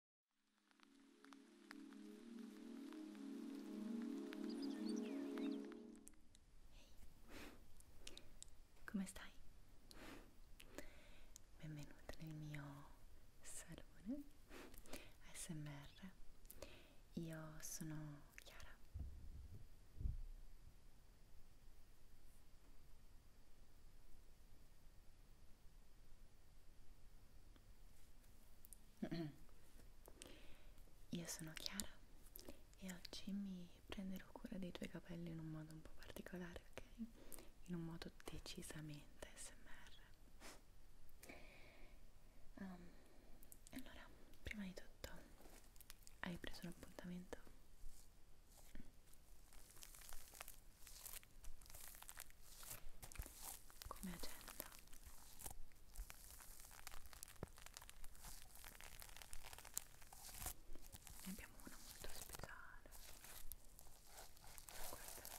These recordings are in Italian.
Hey. Come stai? Benvenuta nel mio salone ASMR. Io sono Chiara. Io sono Chiara e oggi mi prenderò cura dei tuoi capelli in un modo un po' particolare, ok? In un modo decisamente smr. Um, ehm, allora, prima di tutto, hai preso un appuntamento? come agenda ne abbiamo una molto speciale Guarda.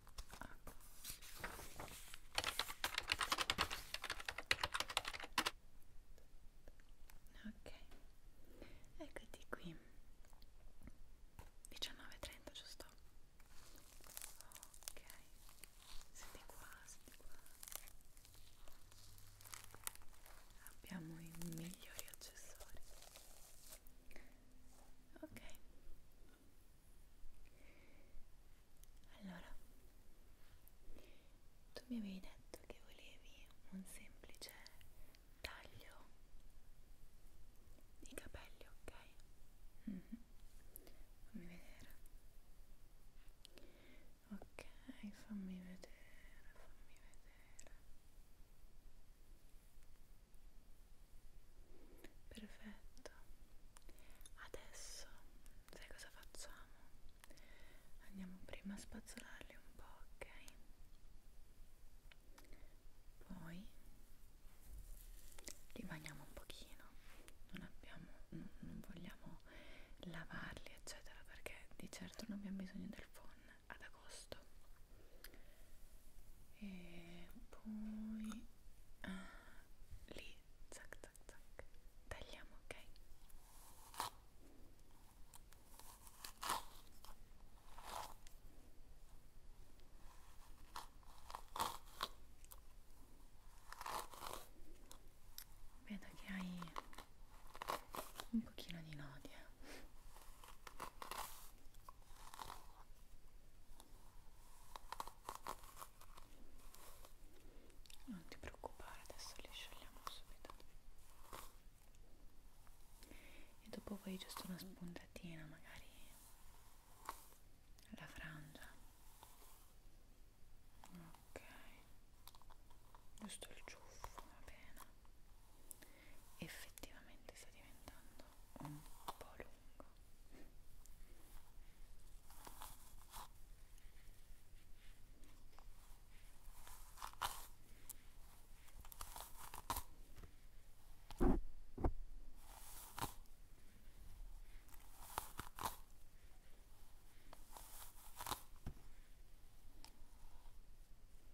ok eccoti qui 19.30 giusto? ok siete qua siete qua abbiamo i migliori accessori ok allora tu mi avevi detto che volevi un semplice taglio di capelli ok mm -hmm. fammi vedere ok fammi vedere fammi vedere Perfetto. Adesso sai cosa facciamo? Andiamo prima a spazzolarli un po', ok? Poi rimaniamo un pochino, non, abbiamo, non, non vogliamo lavarli eccetera perché di certo non abbiamo bisogno del phon ad agosto e poi ah, lì zac zac zac tagliamo ok vedo che hai un pochino di nodi non ti preoccupare adesso li sciogliamo subito e dopo poi giusto una spuntatina magari alla frangia ok giusto il ciuffo va bene effettivamente sta diventando un po' lungo Ecco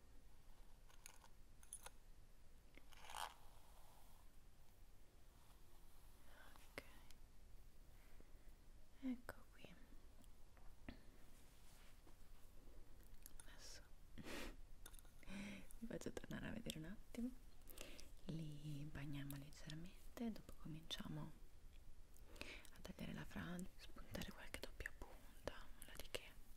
Ok, ecco qui. Adesso vi faccio tornare a vedere un attimo. Li bagniamo leggermente, dopo cominciamo a tagliare la frangia, spuntare qualche doppia punta, nulla di che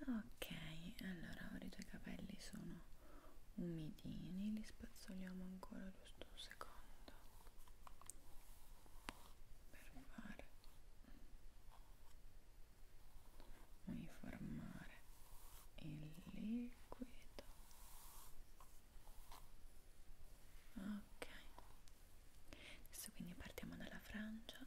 ok allora ora i tuoi capelli sono umidini li spazzoliamo ancora giusto un secondo per fare uniformare il liquido ok adesso quindi partiamo dalla frangia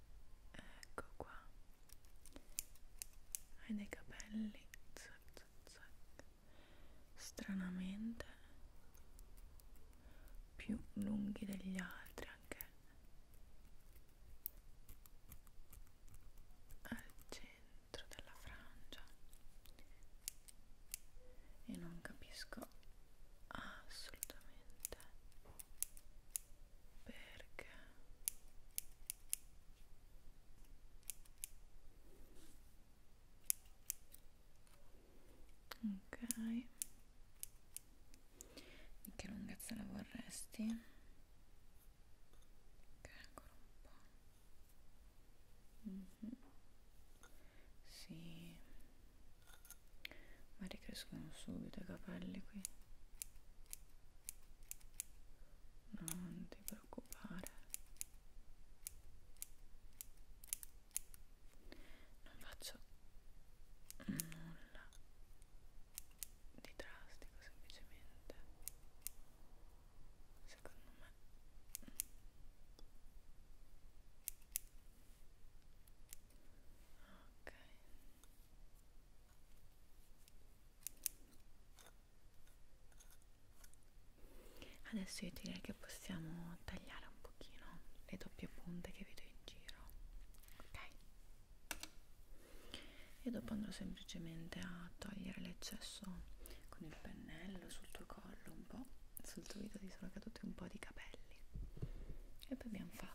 ecco qua hai dei capelli zac, zac, zac. stranamente più lunghi degli altri anche al centro della frangia e non capisco assolutamente perché ok di che lunghezza la vorresti? ok ancora un po' Mm -hmm. Sì, ma ricrescono subito i capelli qui non ti preoccupare non faccio nulla di drastico semplicemente secondo me ok Adesso io direi che possiamo tagliare un pochino le doppie punte che vedo in giro, ok? E dopo andrò semplicemente a togliere l'eccesso con il pennello sul tuo collo un po', sul tuo video ti sono caduti un po' di capelli e poi abbiamo fatto.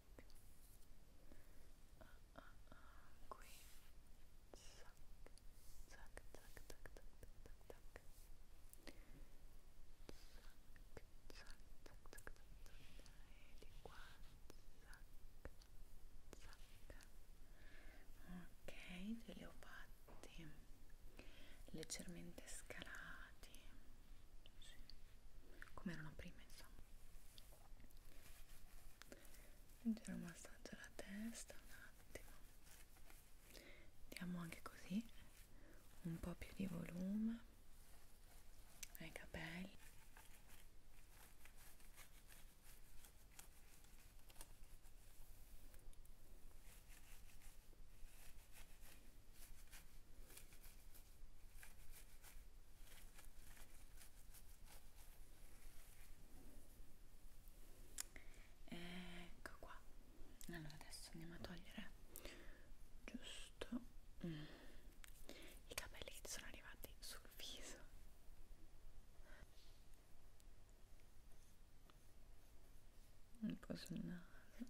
ah, ah, qui zac, zac, zac, zac, zac, zac, zac zac, zac, zac, zac, zac e di qua zac, zac ok, te li ho fatti leggermente scalati sì. come erano prima insomma aggiungere un massaggio alla testa un attimo diamo anche così un po' più di volume ai capelli ecco qua allora adesso andiamo a togliere giusto mm. i capelli che ti sono arrivati sul viso un po' sul naso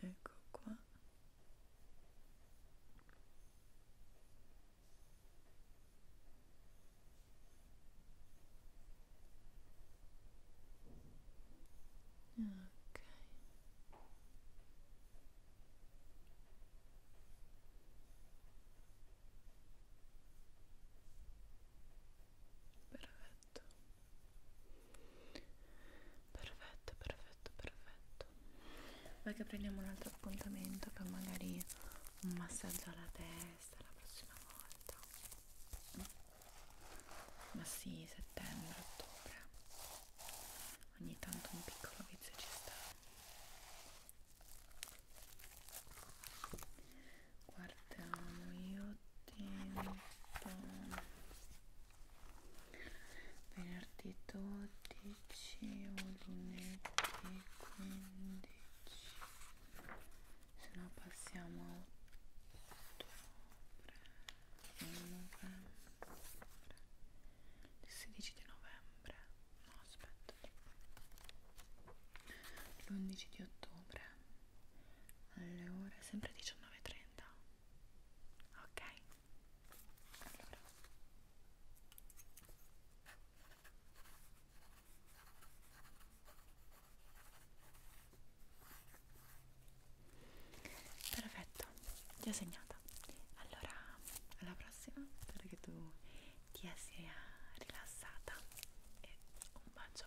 ecco qua Ok. Perfetto perfetto perfetto perfetto poi che prendiamo un altro appuntamento per magari un massaggio alla testa la prossima volta ma sì settembre ottobre ogni tanto un piccolo vizio ci sta guardiamo io tempo venerdì 12 o lunedì 15 se no passiamo a ottobre novembre il 16 di novembre no aspetta l'11 di ottobre alle ore sempre 19.30 ok allora perfetto ti ho segnata allora alla prossima spero che tu ti sia rilassata e un bacio